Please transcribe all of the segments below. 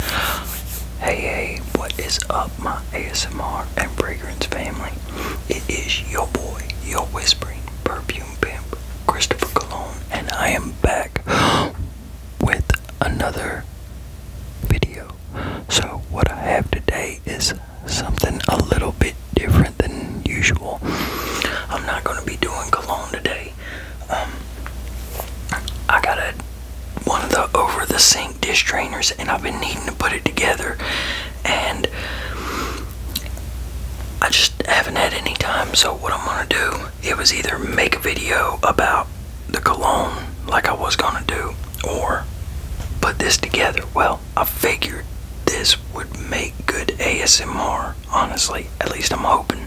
Hey, hey, what is up, my ASMR and fragrance family? It is your boy, your whispering perfume pimp, Christopher Cologne, and I am back with another video. So, what I have today is something a little bit different than usual. I'm not going to be doing cologne today. Um, I got a one of the over the sink dish drainers, and I've been needing to put it together, and I just haven't had any time. So what I'm gonna do? It was either make a video about the cologne, like I was gonna do, or put this together. Well, I figured this would make good ASMR, honestly. At least I'm hoping.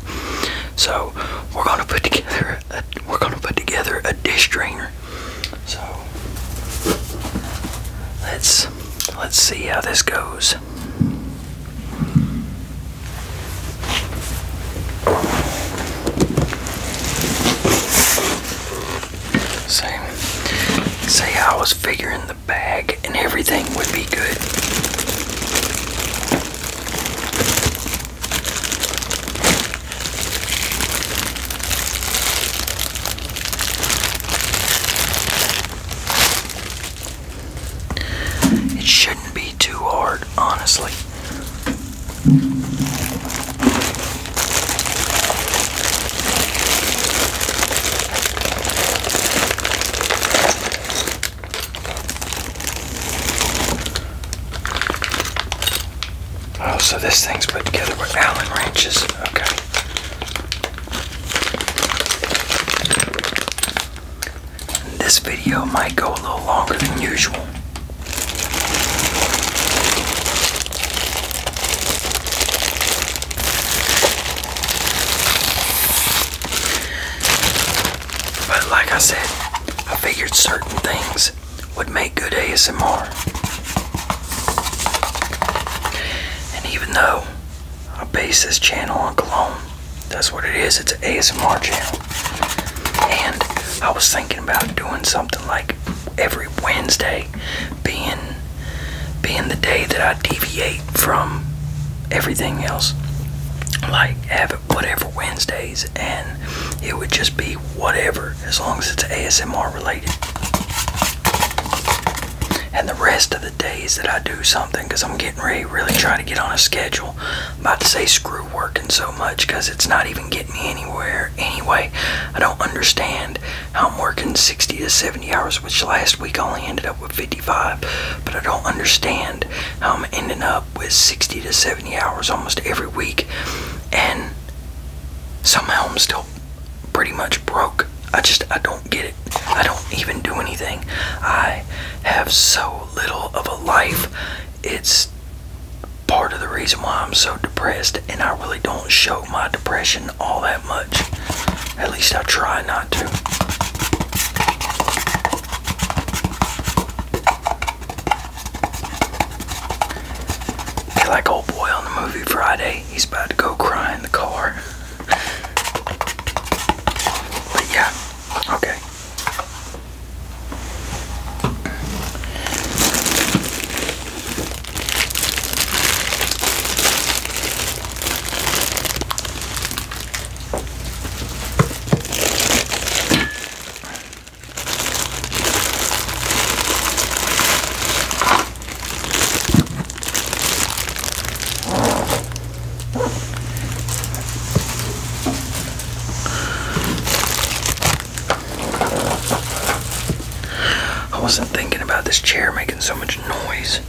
So, we're going to put together a, we're gonna put together a dish drainer. So let's let's see how this goes. Say, say I was figuring the bag and everything would be good. It shouldn't be too hard, honestly. Oh, so this thing's put together with Allen wrenches. Okay. This video might go a little longer than usual. But like I said, I figured certain things would make good ASMR. And even though I base this channel on cologne, that's what it is, it's an ASMR channel. And I was thinking about doing something like every Wednesday being being the day that I deviate from everything else. Like have it whatever Wednesdays and it would just be whatever as long as it's ASMR related. And the rest of the days that I do something, because I'm getting ready really trying to get on a schedule. about to say screw working so much because it's not even getting me anywhere anyway. I don't understand how I'm working 60 to 70 hours, which last week I only ended up with 55. But I don't understand how I'm ending up with 60 to 70 hours almost every week, and somehow I'm still pretty much broke. I just, I don't get it. I don't even do anything. I have so little of a life. It's part of the reason why I'm so depressed, and I really don't show my depression all that much. At least I try not to like old boy on the movie Friday. He's about to go cry in the car. But yeah, okay. I wasn't thinking about this chair making so much noise.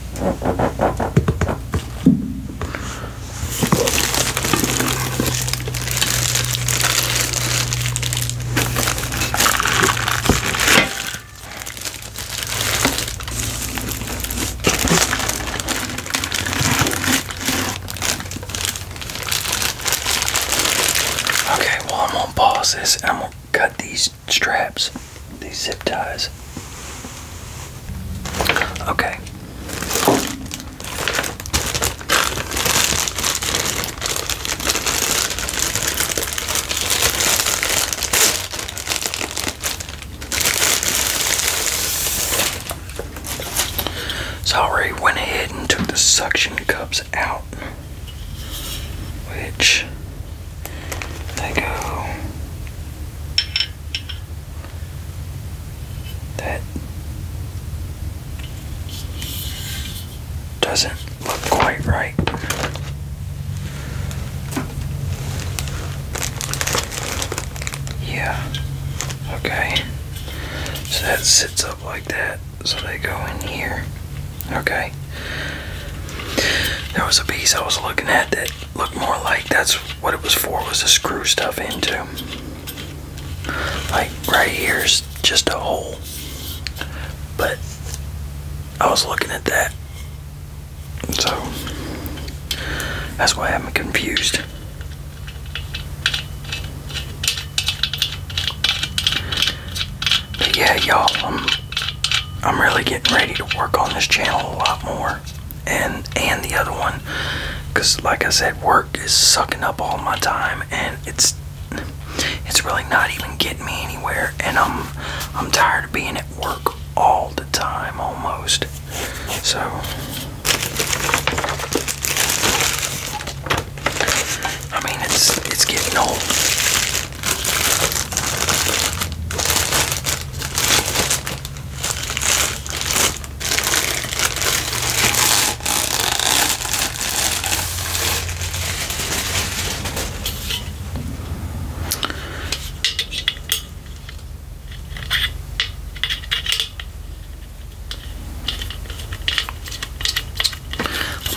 Okay, well, I'm gonna pause this I'm gonna cut these straps, these zip ties. Okay, Sorry, I went ahead and took the suction cups out, which they go that doesn't look quite right. Yeah, okay. So that sits up like that, so they go in here. Okay. There was a piece I was looking at that looked more like that's what it was for was to screw stuff into. Like right here's just a hole. But I was looking at that. So that's why I'm confused. But yeah, y'all, I'm I'm really getting ready to work on this channel a lot more and and the other one because like i said work is sucking up all my time and it's it's really not even getting me anywhere and i'm i'm tired of being at work all the time almost so i mean it's it's getting old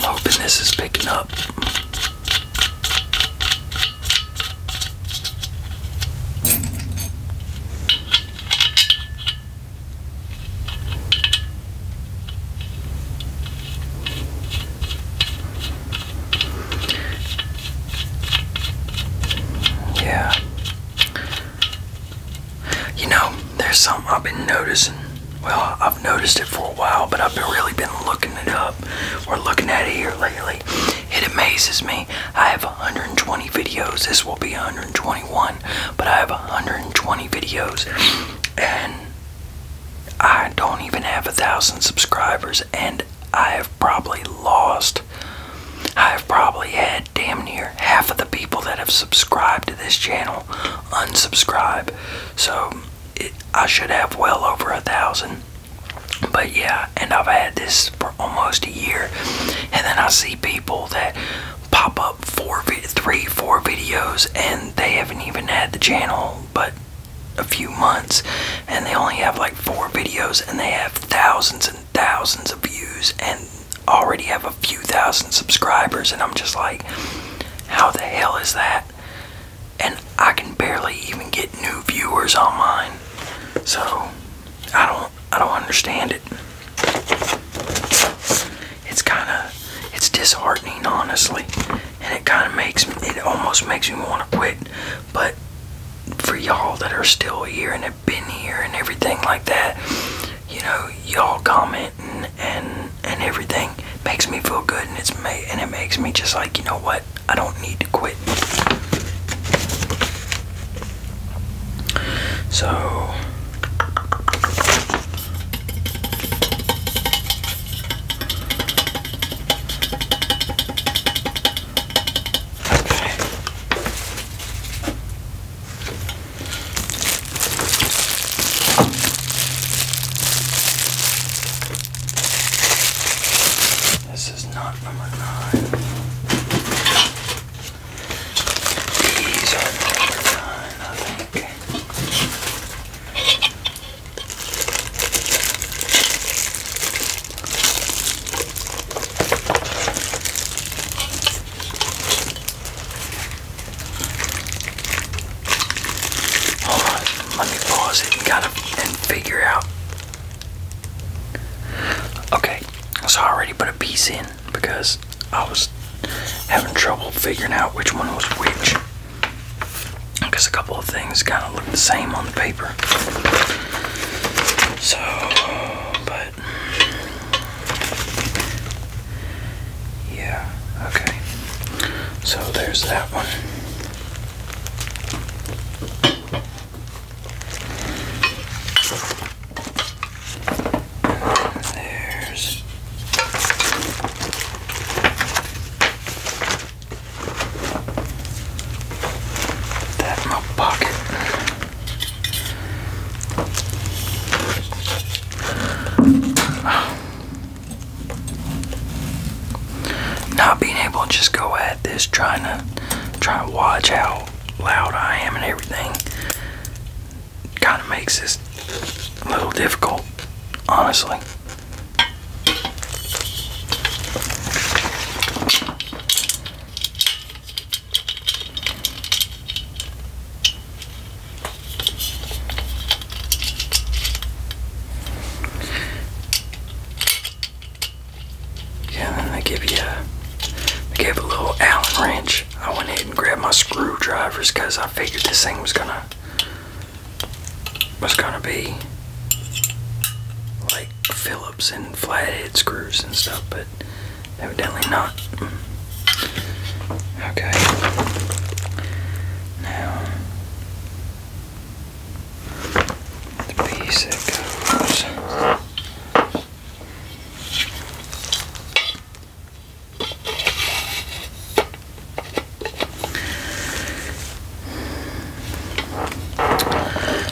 I'm hoping this is picking up. Yeah. You know, there's something I've been noticing. Well, I've noticed it for a while, but I've really been looking it up or looking at it here lately. It amazes me. I have 120 videos. This will be 121, but I have 120 videos, and I don't even have a thousand subscribers, and I have probably lost. I've probably had damn near half of the people that have subscribed to this channel unsubscribe. So I should have well over a thousand. But yeah, and I've had this for almost a year. And then I see people people that pop up four, three, four videos, and they haven't even had the channel but a few months, and they only have like four videos, and they have thousands and thousands of views, and already have a few thousand subscribers, and I'm just like, how the hell is that? And I can barely even get new viewers on mine. So I don't I don't understand it. It's kind of it's disheartening, honestly, and it kind of makes me, it almost makes me want to quit. But for y'all that are still here and have been here and everything like that, you know, y'all commenting and and everything makes me feel good, and it's and it makes me just like you know what I don't need to quit. So This is not number nine. These are number nine, I think. Hold on, let me pause it and gotta and figure out Okay, so I already put a piece in because I was having trouble figuring out which one was which. Because a couple of things kind of look the same on the paper. So, but. Yeah, okay. So there's that one. There's that my pocket. Not being able to just go at this, trying to try and watch out loud I am and everything kind of makes this a little difficult, honestly. Yeah, and then they give you a, gave a little Allen wrench. I went ahead and grabbed my screwdrivers because I figured this thing was gonna was gonna be like Phillips and flathead screws and stuff, but evidently not. Mm. Okay. Now the piece that goes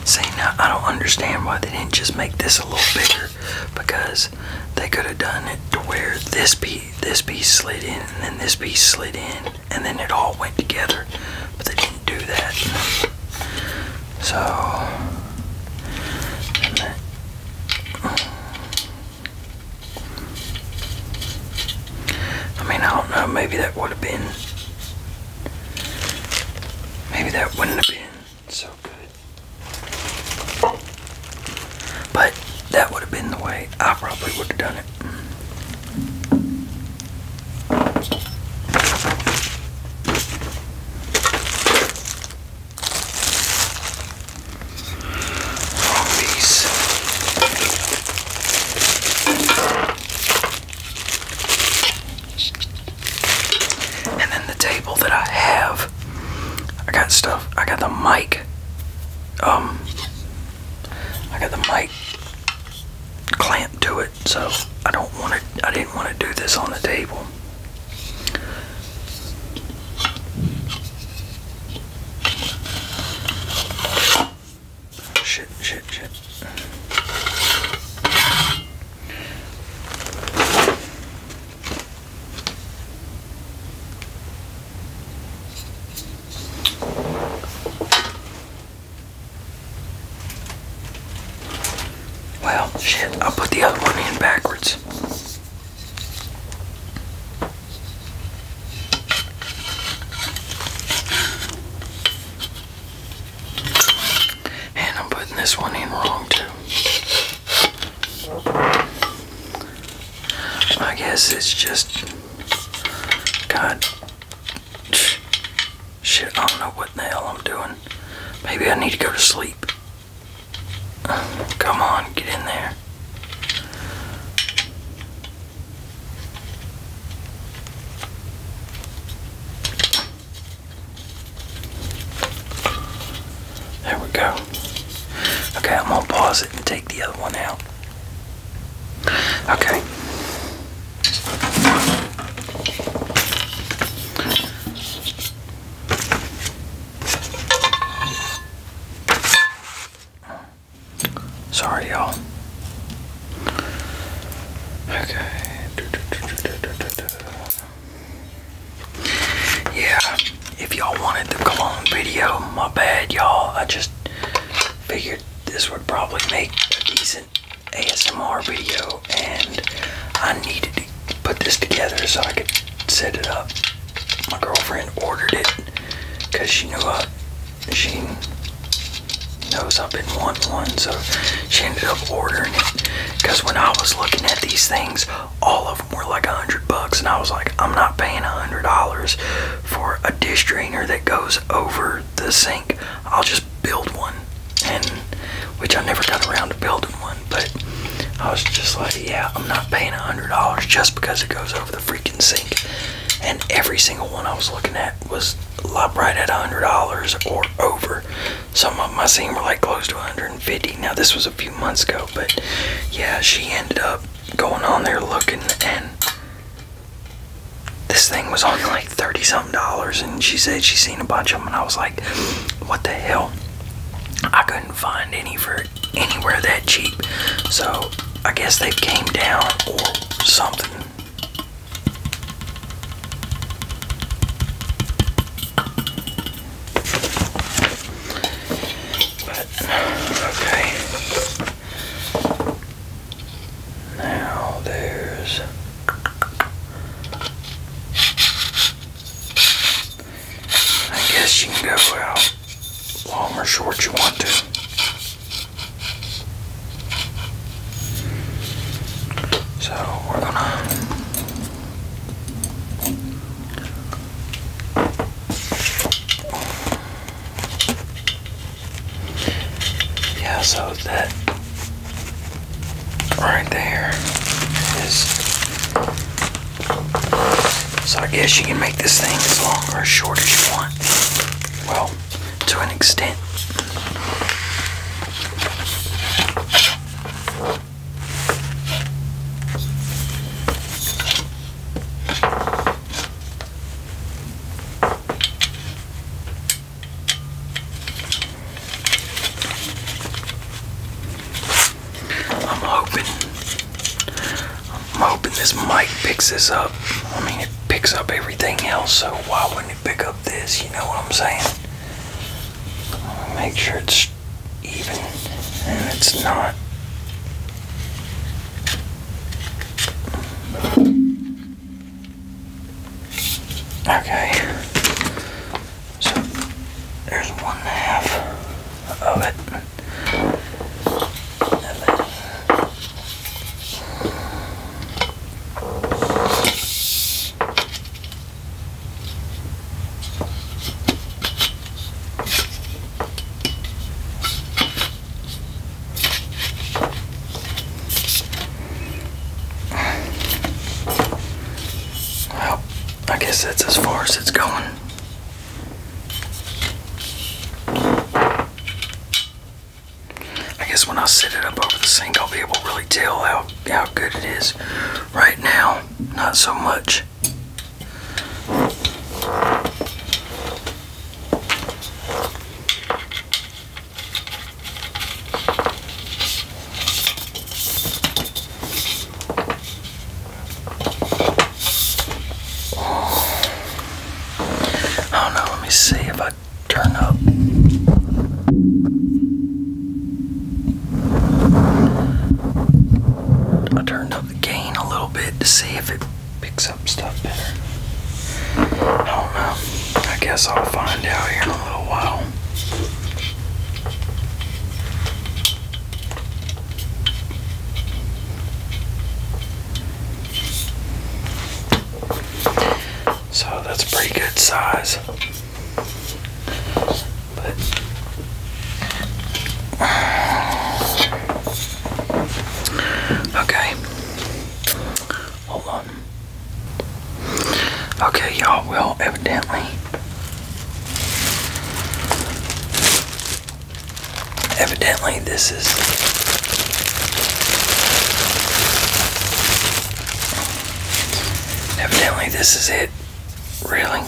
See, now I don't understand why they didn't just make this a little bigger because they could have done it to where this piece, this piece slid in and then this piece slid in and then it all went together, but they didn't do that. So, I mean, I don't know, maybe that would have been, maybe that wouldn't have been so good. But that would have been the way I probably would have done it. From these. And then the table that I have. I got stuff. I got the mic. Um, I got the mic clamped to it, so I don't want it. I didn't want to do this on the table. Shit, shit, shit. Well, shit, I'll put the other one in backwards. And I'm putting this one in wrong too. I guess it's just God Shit, I don't know what the hell I'm doing. Maybe I need to go to sleep. Come on, get in there. There we go. Okay, I'm gonna pause it and take the other one out. Okay. Sorry, y'all. Okay. Yeah, if y'all wanted the cologne video, my bad, y'all. I just figured this would probably make a decent ASMR video and I needed to put this together so I could set it up. My girlfriend ordered it because she knew I, uh, she knows I've been wanting one so she ended up ordering it because when I was looking at these things all of them were like a hundred bucks and I was like I'm not paying a hundred dollars for a dish drainer that goes over the sink I'll just build one, and which I never got around to building one, but I was just like, yeah, I'm not paying $100 just because it goes over the freaking sink. And every single one I was looking at was right at $100 or over. Some of them I seen were like close to 150 Now, this was a few months ago, but yeah, she ended up going on there looking, and this thing was only like 30 something dollars and she said she seen a bunch of them and I was like what the hell I couldn't find any for anywhere that cheap so I guess they came down or something but okay now there's I guess you can go out long or short you want to. So we're gonna Yeah, so that Right there is. So I guess you can make this thing as long or as short as you want. Well, to an extent. I'm hoping I'm hoping this mic picks this up. I mean it picks up everything else, so why wouldn't it pick up this? You know what I'm saying? Make sure it's even and it's not. Okay. So there's one half of it. Well, I guess that's as far as it's going. I guess when I set it up over the sink, I'll be able to really tell how, how good it is. Right now, not so much. I oh, don't know, let me see if I turn up. I turned up the gain a little bit to see if it picks up stuff better. I don't know. I guess I'll find out here in a little while. So that's pretty good size. okay. Hold on. Okay, y'all, well, evidently, evidently, this is. Evidently, this is it. Really?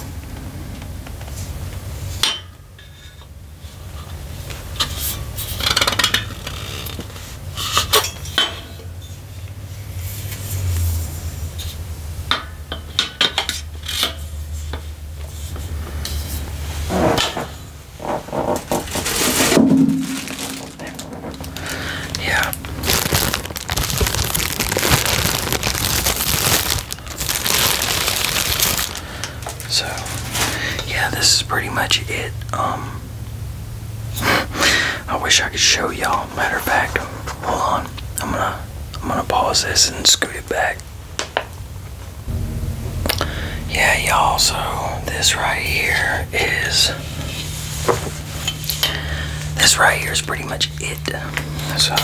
Yeah. So, yeah, this is pretty much it. Um I wish I could show y'all. Matter of fact, hold on. I'm gonna I'm gonna pause this and scoot it back. Yeah, y'all. So this right here is this right here is pretty much it. So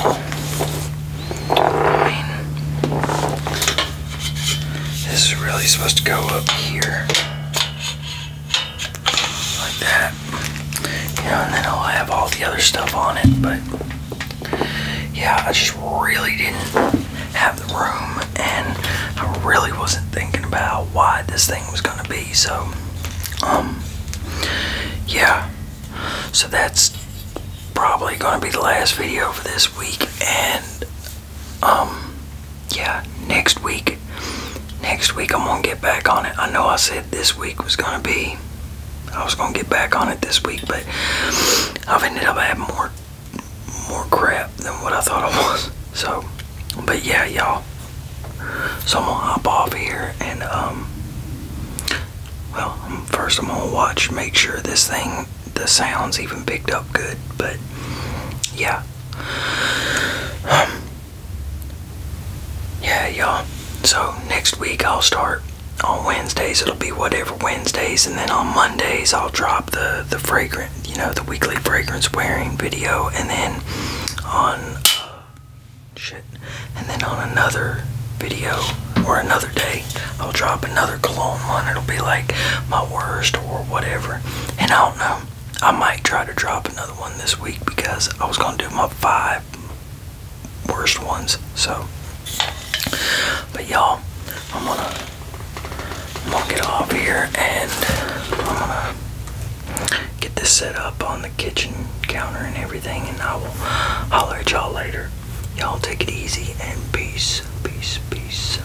this is really supposed to go up here like that. You know, and then I'll have all the other stuff on it, but yeah, I just really didn't have the room and I really wasn't thinking about why this thing was gonna be, so um yeah. So that's probably gonna be the last video for this week and um, yeah, next week, next week I'm gonna get back on it. I know I said this week was gonna be, I was gonna get back on it this week, but I've ended up having more, more crap than what I thought I was. So, but yeah, y'all. So I'm gonna hop off here and um, well, first I'm gonna watch, make sure this thing, the sounds even picked up good. But yeah, yeah, y'all. So next week I'll start on Wednesdays. It'll be whatever Wednesdays, and then on Mondays I'll drop the the fragrant, you know, the weekly fragrance wearing video, and then on uh, shit, and then on another video or another day I'll drop another cologne one. It'll be like my worst or whatever, and I don't know. I might try to drop another one this week because I was gonna do my five worst ones. So, but y'all, I'm gonna I'm going get off here and I'm gonna get this set up on the kitchen counter and everything, and I will holler at y'all later. Y'all take it easy and peace, peace, peace.